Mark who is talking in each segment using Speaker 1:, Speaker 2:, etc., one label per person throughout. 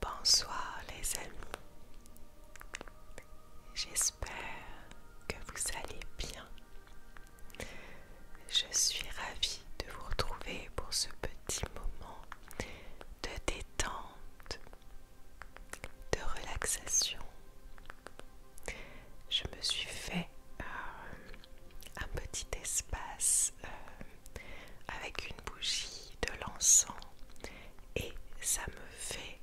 Speaker 1: Bonsoir les amis. J'espère que vous allez bien. Je suis ravie de vous retrouver pour ce petit moment de détente, de relaxation, je me suis fait euh, un petit espace euh, avec une bougie, de l'encens et ça me fait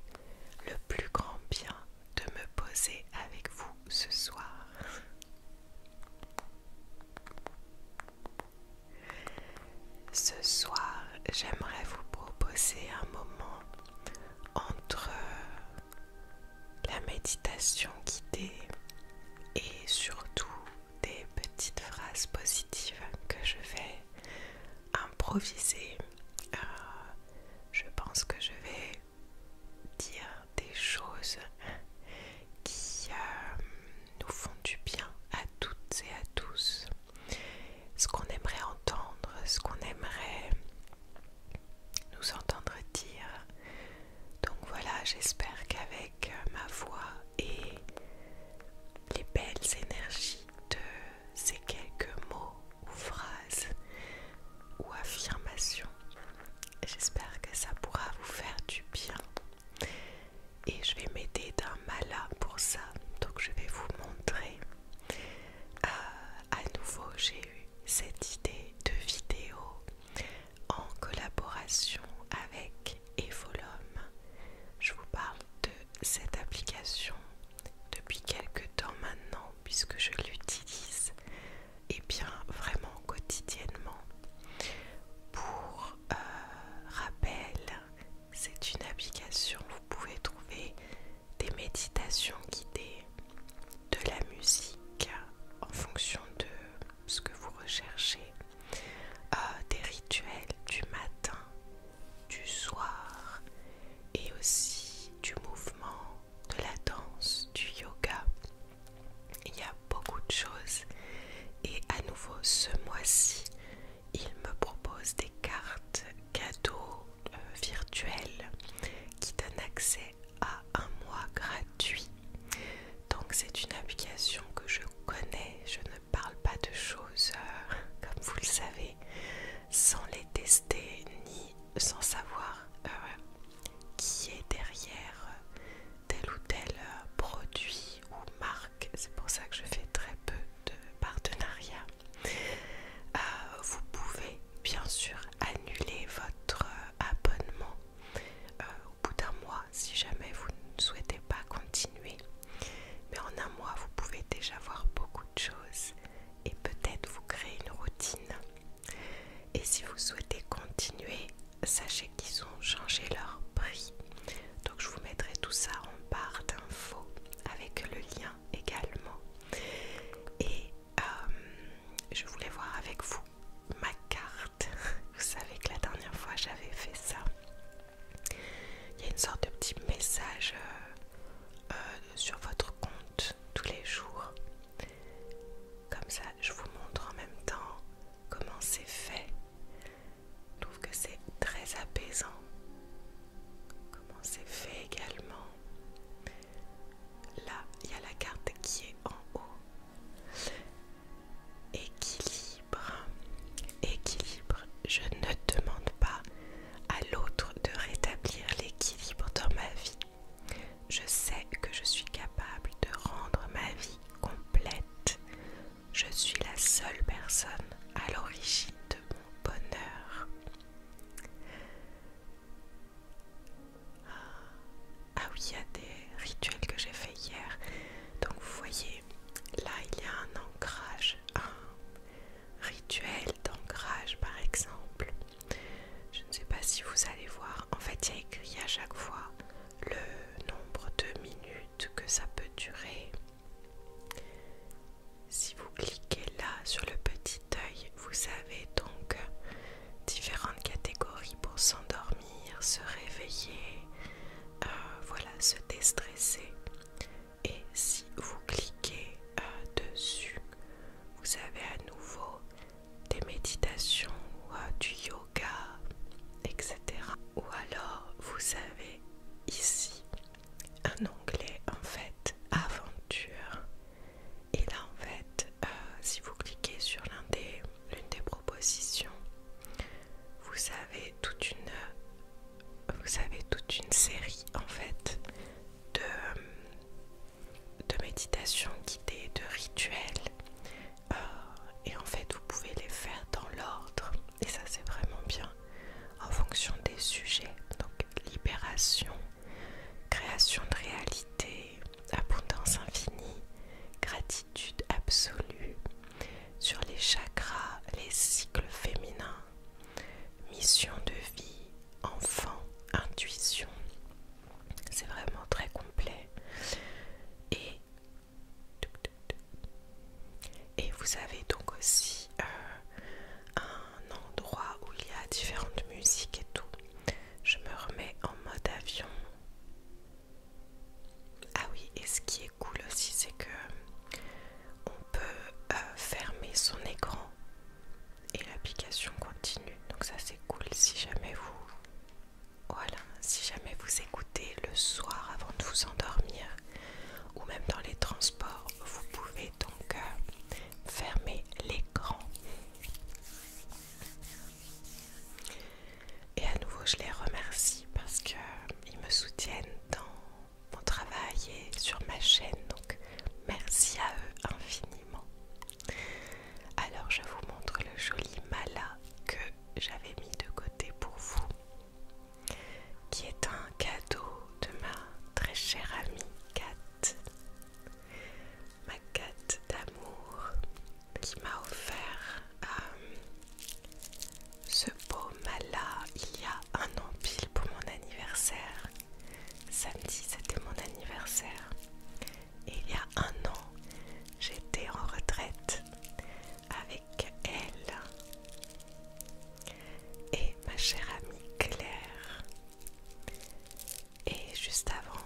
Speaker 1: le plus grand bien de me poser avec vous ce soir. Ce soir, j'aimerais vous proposer un moment entre la méditation guidée et surtout des petites phrases positives que je vais improviser. Euh, je pense que je vais dire des choses qui euh, nous font du bien à toutes et à tous. Ce qu'on aimerait entendre, ce qu'on aimerait nous entendre dire. Donc voilà, j'espère qu'avec euh, ma voix et les belles énergies de ces quelques mots ou phrases ou affirmations, j'espère que ça pourra vous faire du bien. Et je vais m'aider d'un malin pour ça. Donc je vais vous montrer. Euh, à nouveau, j'ai eu cette idée de vidéo en collaboration avec Evolum. Je vous parle de cette application depuis quelques temps maintenant puisque je l'utilise et eh bien vraiment quotidiennement. Pour euh, rappel, c'est une application, vous pouvez trouver des méditations guidées, de la musique en fonction de ce que vous recherchez, euh, des rituels du matin, du soir et aussi du mouvement, de la danse, du yoga. Il y a beaucoup de choses et à nouveau ce mois-ci, il me propose des cartes cadeau euh, virtuel qui donne accès à un mois gratuit. Donc c'est une application que je connais, je ne parle pas de choses euh, comme vous le savez sans les tester ni sans savoir euh, qui est derrière tel ou tel produit ou marque. C'est pour ça que je fais très peu de partenariats. vous pouvez bien sûr annuler votre euh, abonnement euh, au bout d'un mois si jamais vous ne souhaitez pas continuer. Mais en un mois, vous pouvez déjà voir beaucoup de choses et peut-être vous créer une routine. Et si vous souhaitez continuer, sachez qu'ils ont changé leur prix. Donc je vous mettrai tout ça en barre d'infos avec le lien également. Et euh, je voulais voir avec vous ma carte. Vous savez que la dernière fois j'avais fait ça. Il y a une sorte de petit message euh, euh, sur votre compte tous les jours. Comme ça, je vous montre en même temps comment c'est fait. Je trouve que c'est très apaisant. Comment c'est fait également. Là, il y a la carte qui est en haut. Équilibre. Équilibre. Je ne demande pas à l'autre de rétablir l'équilibre dans ma vie. Je sais que je suis capable de rendre ma vie complète. Je suis la seule personne à l'origine de mon bonheur. Ah oui, il y a des rituels que j'ai fait hier. Donc vous voyez, là il y a un ancrage, un rituel d'ancrage par exemple. Je ne sais pas si vous allez voir. En fait, il y a écrit à chaque fois le nombre de minutes que ça peut durer. Si vous cliquez là sur le petit œil, vous avez donc différentes catégories pour s'endormir, se réveiller, euh, voilà, se déstresser. Et si vous cliquez euh, dessus, vous avez à nouveau des méditations, euh, du yoga, etc. Ou alors vous avez ici un onglet en fait aventure et là en fait euh, si vous cliquez sur l'un l'une des propositions vous avez toute une vous avez toute une série en fait de, de méditations guidées, de rituels euh, et en fait vous pouvez les faire dans l'ordre et ça c'est vraiment bien en fonction des sujets donc libération Création de réalité, abondance infinie, gratitude absolue sur les chakras, les cycles féminins, mission de vie, enfant, intuition. C'est vraiment très complet. Et, vous avez donc aussi euh, un endroit où il y a différentes musiques et tout. Je me remets en mode avion. Ah oui, et ce qui est cool aussi, c'est que on peut euh, fermer son écran et l'application continue. Donc ça c'est cool si jamais vous voilà, si jamais vous écoutez le soir avant de vous endormir ou même dans les transports, vous pouvez donc euh, fermer l'écran. Et à nouveau, je les remercie parce qu'ils me soutiennent dans mon travail et sur ma chaîne. Donc, merci à eux infiniment. Alors, je vous montre le joli mala que j'avais mis de côté pour vous, qui est un cadeau de ma très chère amie Kat, ma Kat d'amour, qui m'a offert euh, ce beau là il y a un an pile pour mon anniversaire. Samedi, c'était mon anniversaire. Et il y a un an, j'étais en retraite avec elle et ma chère amie Claire. Et juste avant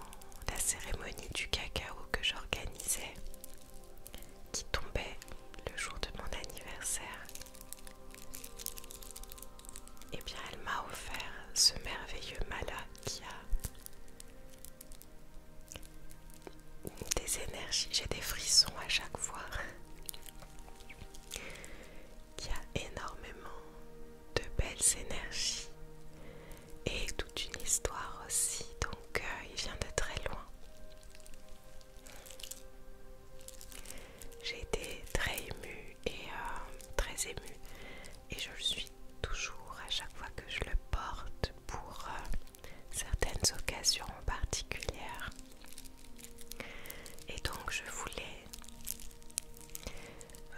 Speaker 1: la cérémonie du cacao que j'organisais, qui tombait le jour de mon anniversaire, et eh bien elle m'a offert ce merveilleux mala qui a des énergies, j'ai des frissons à chaque fois qui a énormément de belles énergies et toute une histoire aussi, donc euh, il vient de très loin. J'ai été très émue et euh, très émue et je le suis toujours à chaque fois que je le porte pour euh, certaines occasions particulières. Et donc je voulais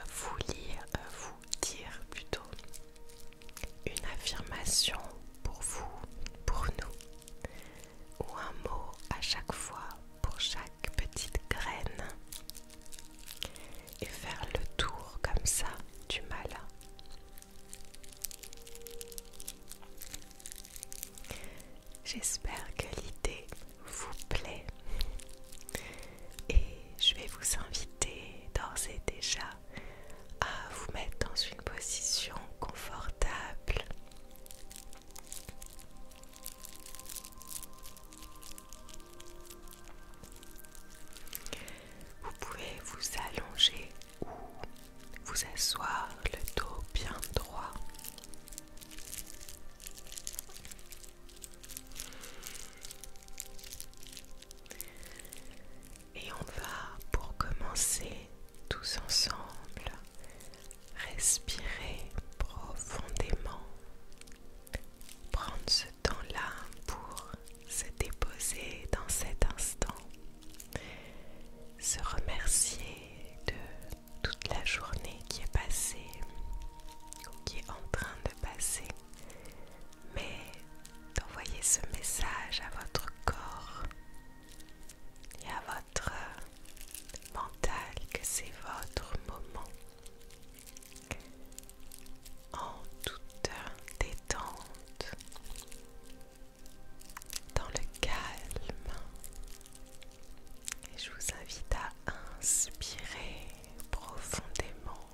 Speaker 1: vous lire, vous dire plutôt une affirmation pour vous, pour nous, ou un mot à chaque fois pour chaque petite graine, et faire le tour comme ça du malin. J'espère que l'idée vous plaît et je vais vous inviter d'ores et déjà à vous mettre dans une position confortable. Vous pouvez vous allonger ou vous asseoir le dos bien droit. Et on va, pour commencer, tous ensemble, respirer profondément, prendre ce temps-là pour se déposer dans cet instant, se remercier de toute la journée qui est passée, ou qui est en train de passer, mais d'envoyer ce message à votre corps et à votre mental que c'est votre moment en toute détente, dans le calme, je vous invite à inspirer profondément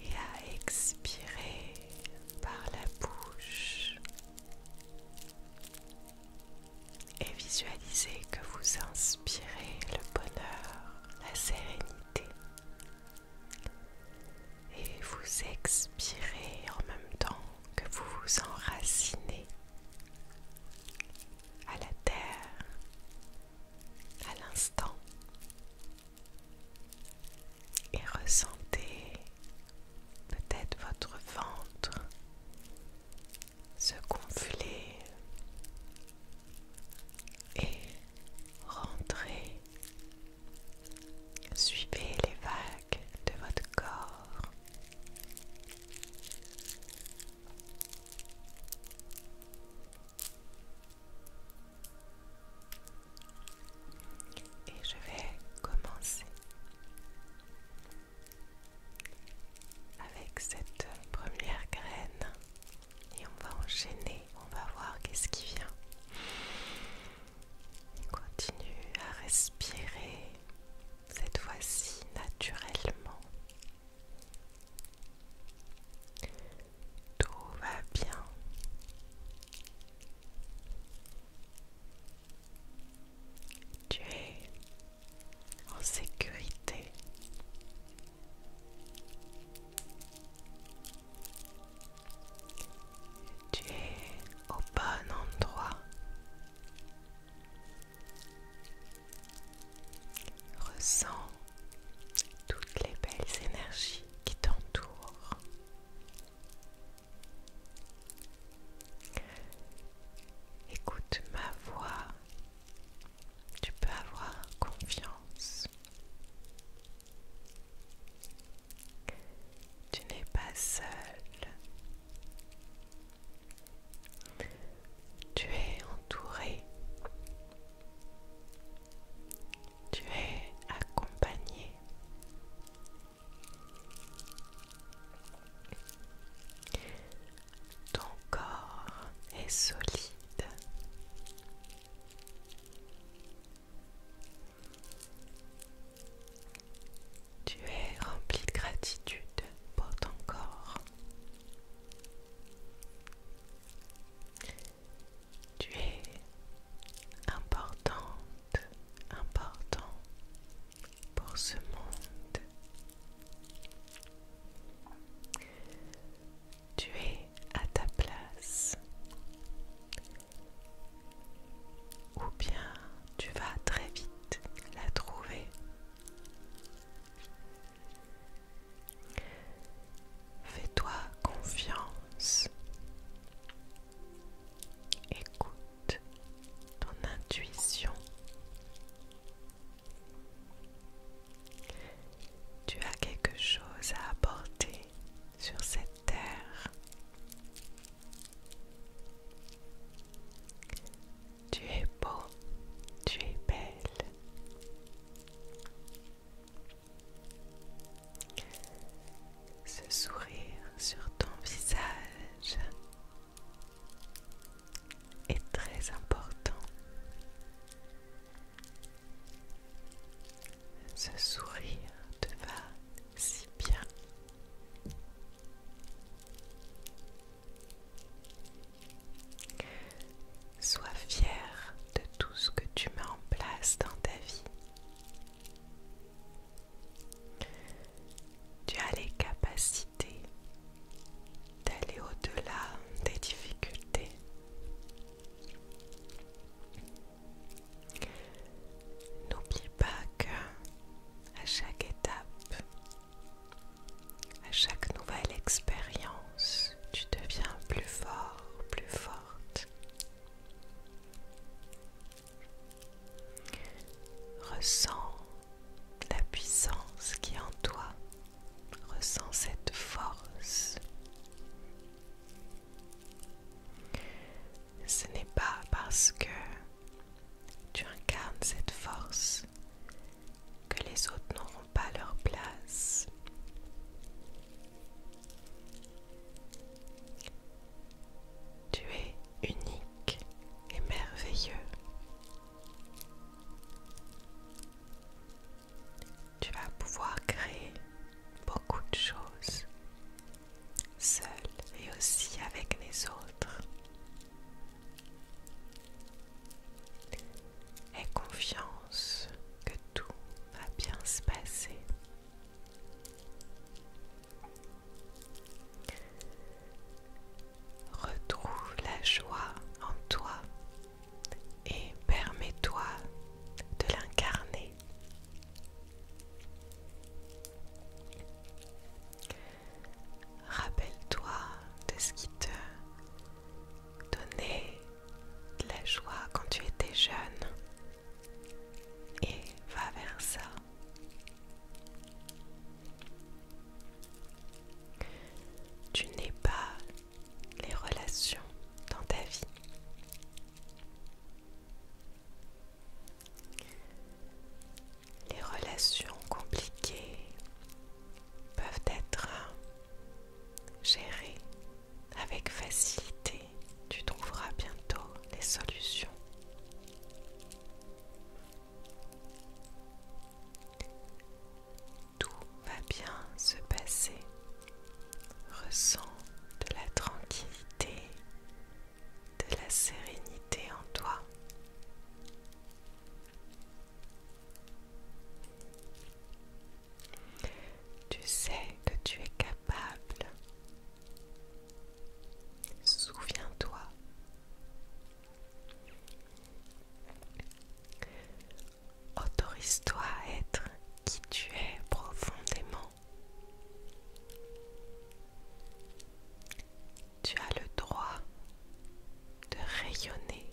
Speaker 1: et à expirer par la bouche. Et visualisez que vous inspirez le bonheur, la sérénité, et vous expirez en même temps que vous vous enracinez à la terre, à l'instant, et ressentez peut-être votre ventre se gonfler et rentrer Suivez les vagues de votre corps. Et je vais commencer avec cette première graine et on va enchaîner, on va voir qu'est-ce qui vient. Continue à respirer, cette fois-ci naturellement. Tout va bien. Tu es en sécurité. Tu es au bon endroit. Ressens toutes les belles énergies qui t'entourent. Écoute ma voix. Tu peux avoir confiance. Tu n'es pas seul. Tu es entouré. Tu es accompagné. Ton corps est solide. Tu es rempli de gratitude pour ton corps. Tu es importante, important pour ce monde. Tu es à ta place. Ou bien tu vas très vite la trouver. Fais-toi confiance. Écoute ton intuition. Tu as quelque chose à apporter sur cette terre. Tu es beau, tu es belle. Ce sourire sur ton visage est très important. Ce sourire te va bien. Sois fier de tout ce que tu mets en place dans ta vie. Tu as les capacités d'aller au-delà des difficultés. N'oublie pas que à chaque étape, à chaque nouvelle expérience, tu deviens plus fort, plus forte. Ressens la puissance qui est en toi, ressens cette force. Ce n'est pas parce que tu incarnes cette force que les autres n'auront pas leur place. Tu es unique et merveilleux. Tu vas pouvoir créer beaucoup de choses seul et aussi avec les autres. Aie confiance que tout va bien se passer. Retrouve la joie en toi et permets-toi de l'incarner Rappelle-toi de ce qui te donnait de la joie quand tu étais jeune et va vers ça. Tu n'es pas les relations dans ta vie. Les relations compliquées peuvent être gérées avec facilité. Tu trouveras bientôt les solutions. Tout va bien se passer Ressens de la tranquillité, de la sérénité en toi. Tu sais que tu es capable. Souviens-toi. Autorise-toi à être qui tu es profondément. Tu as le droit de rayonner.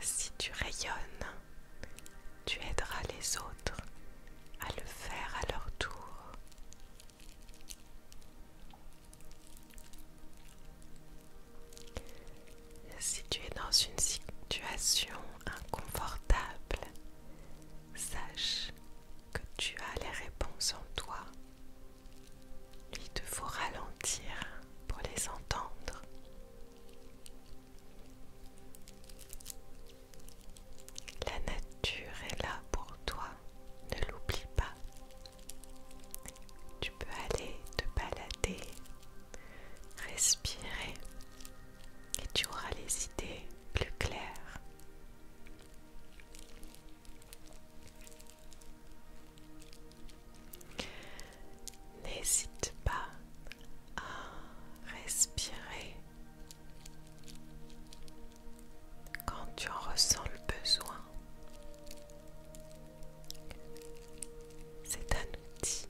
Speaker 1: Si tu rayonnes, tu aideras les autres à le faire à leur tour. Si tu es dans une situation inconfortable, sache que tu as les réponses en toi. Il te faut ralentir pour les entendre. La nature est là pour toi, ne l'oublie pas. Tu peux aller te balader Respirez et tu auras les idées plus claires. N'hésite pas à respirer quand tu en ressens le besoin. C'est un outil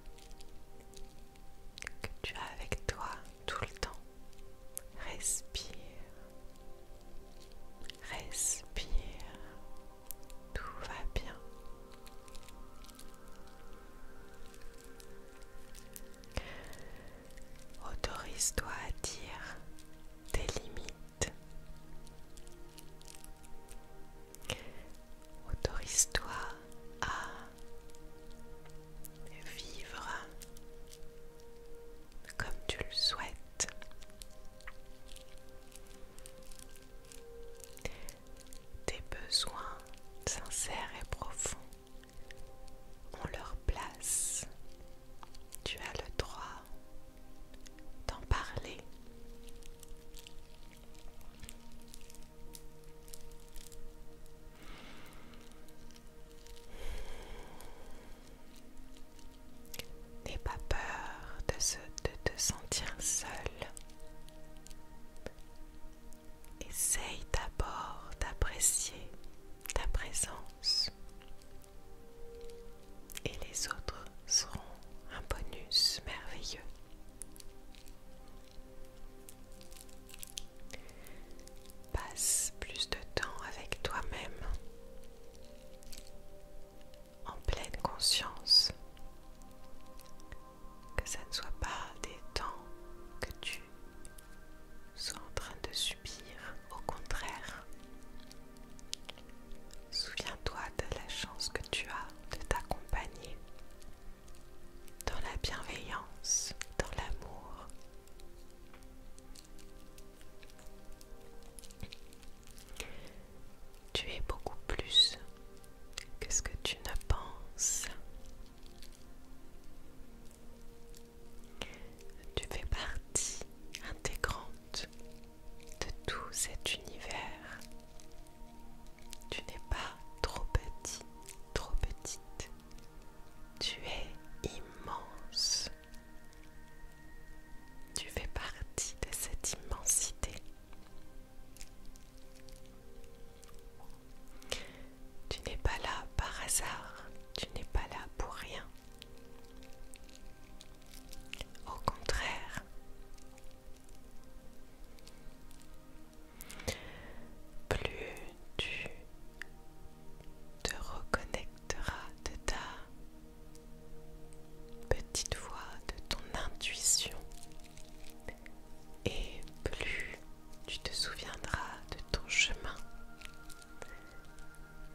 Speaker 1: que tu as avec toi tout le temps. Respire. Respire. Tout va bien. Autorise-toi à dire tes limites. Autorise-toi à vivre comme tu le souhaites. Tes besoins sincères et profonds ont leur place. Tu as le droit d'en parler. N'aie pas peur de, te sentir seul. Essaye d'abord d'apprécier ta présence et les autres seront un bonus merveilleux. Passe plus de temps avec toi-même en pleine conscience. Que ça ne soit pas des temps que tu sois en train de subir, au contraire, Souviens-toi de la chance que tu as de t'accompagner dans la bienveillance, dans l'amour. Tu es beaucoup plus que ce que tu ne penses. Tu fais partie intégrante de tout cet univers. Tu n'es pas trop petit, trop petite. Tu es immense. Tu fais partie de cette immensité. Tu n'es pas là par hasard, tu n'es pas là pour rien. Au contraire. Plus tu te reconnecteras de ta petite voix, de ton intuition, et plus tu te souviendras de ton chemin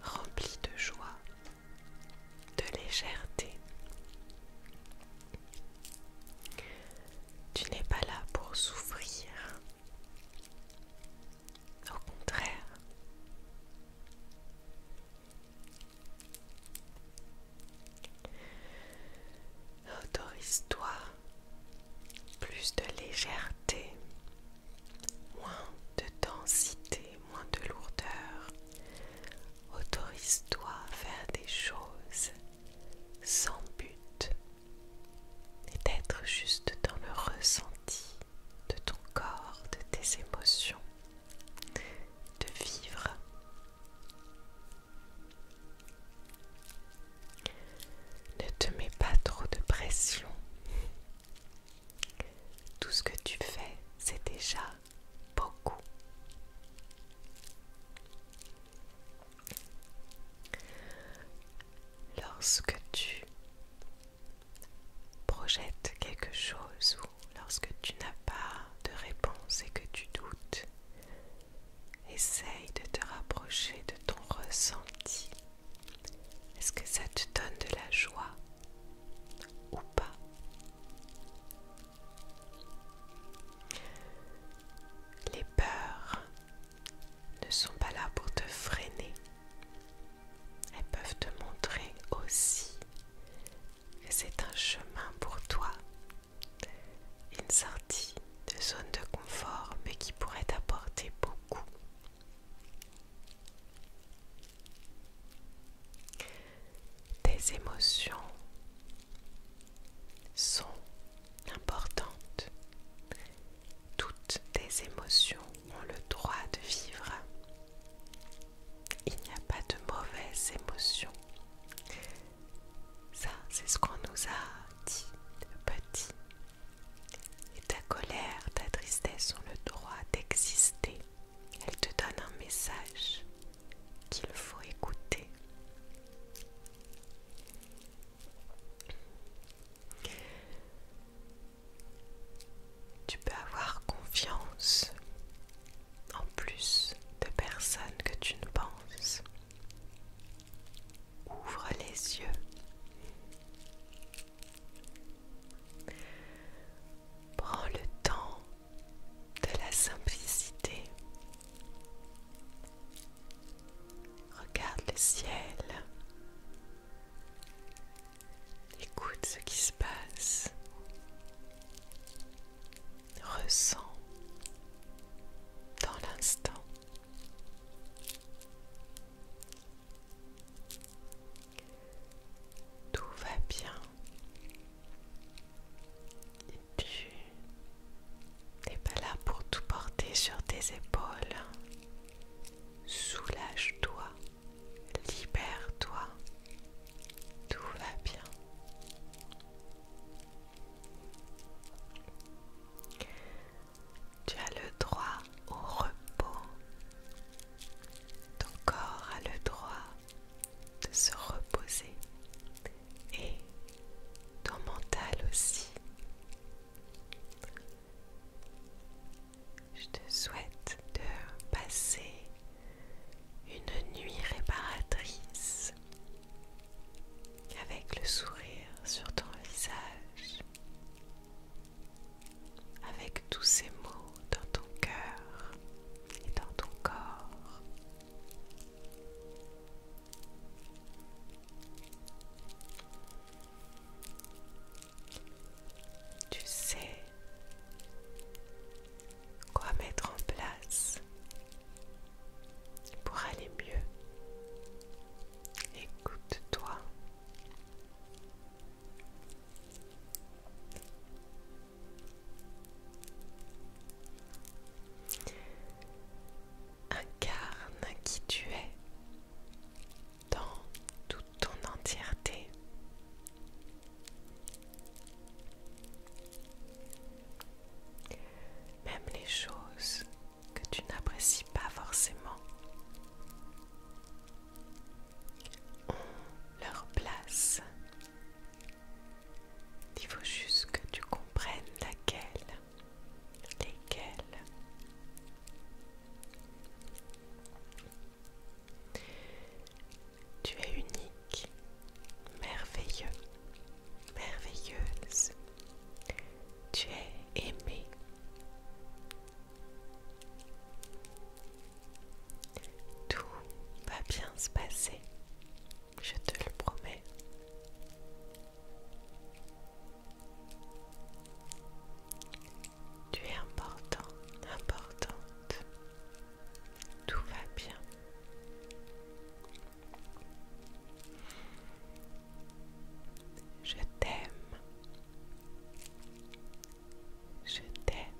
Speaker 1: rempli de joie de légèreté. Tu n'es pas là pour souffrir. Au contraire. Autorise-toi plus de légèreté, moins de densité moins de lourdeur. Autorise-toi à faire des choses sans but et d'être juste dans le ressenti de ton corps, de tes émotions, de vivre. Ne te mets pas trop de pression. Tout ce que tu fais, c'est déjà beaucoup. Lorsque tu projettes quelque chose ou lorsque tu n'as pas de réponse et que tu doutes, essaye de te rapprocher de ton ressenti. Est-ce que ça te donne de la joie ou pas les peurs ne sont pas là pour te freiner. Elles peuvent te montrer aussi que c'est un chemin pour toi, une sortie de zone de confort, mais qui pourrait t'apporter beaucoup. Tes émotions sont importantes. Toutes tes émotions ont le droit de vivre. Il n'y a pas de mauvaises émotions. Ça, c'est ce qu'on nous a dit de petit. Et ta colère, ta tristesse ont le droit d'exister elle te donne un message qu'il faut écouter. Tu peux avoir confiance en plus de personnes que tu ne penses. Ouvre les yeux. Prends le temps de la simplicité. Regarde le ciel. Écoute ce qui se passe. Ressens dans l'instant. Tout va bien. tu n'es pas là pour tout porter sur tes épaules. Soulage-toi, libère-toi. Tout va bien. Tu as le droit au repos, ton corps a le droit de se reposer et ton mental aussi. Je te souhaite de passer une nuit réparatrice avec le sourire sur ton visage avec tous ces mots dans ton cœur et dans ton corps. Tu sais quoi mettre en place pour aller mieux. Écoute-toi. Incarne qui tu es dans toute ton entièreté. Même les choses que tu n'apprécies pas forcément ont leur place. Il faut juste que tu comprennes laquelle, lesquelles. Tu es unique, merveilleux, merveilleuse. Tu es aimé, tout va bien se passer, je te le promets. Tu es important, importante. Tout va bien. Je t'aime. Je t'aime.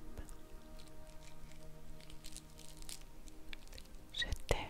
Speaker 1: Je t'aime.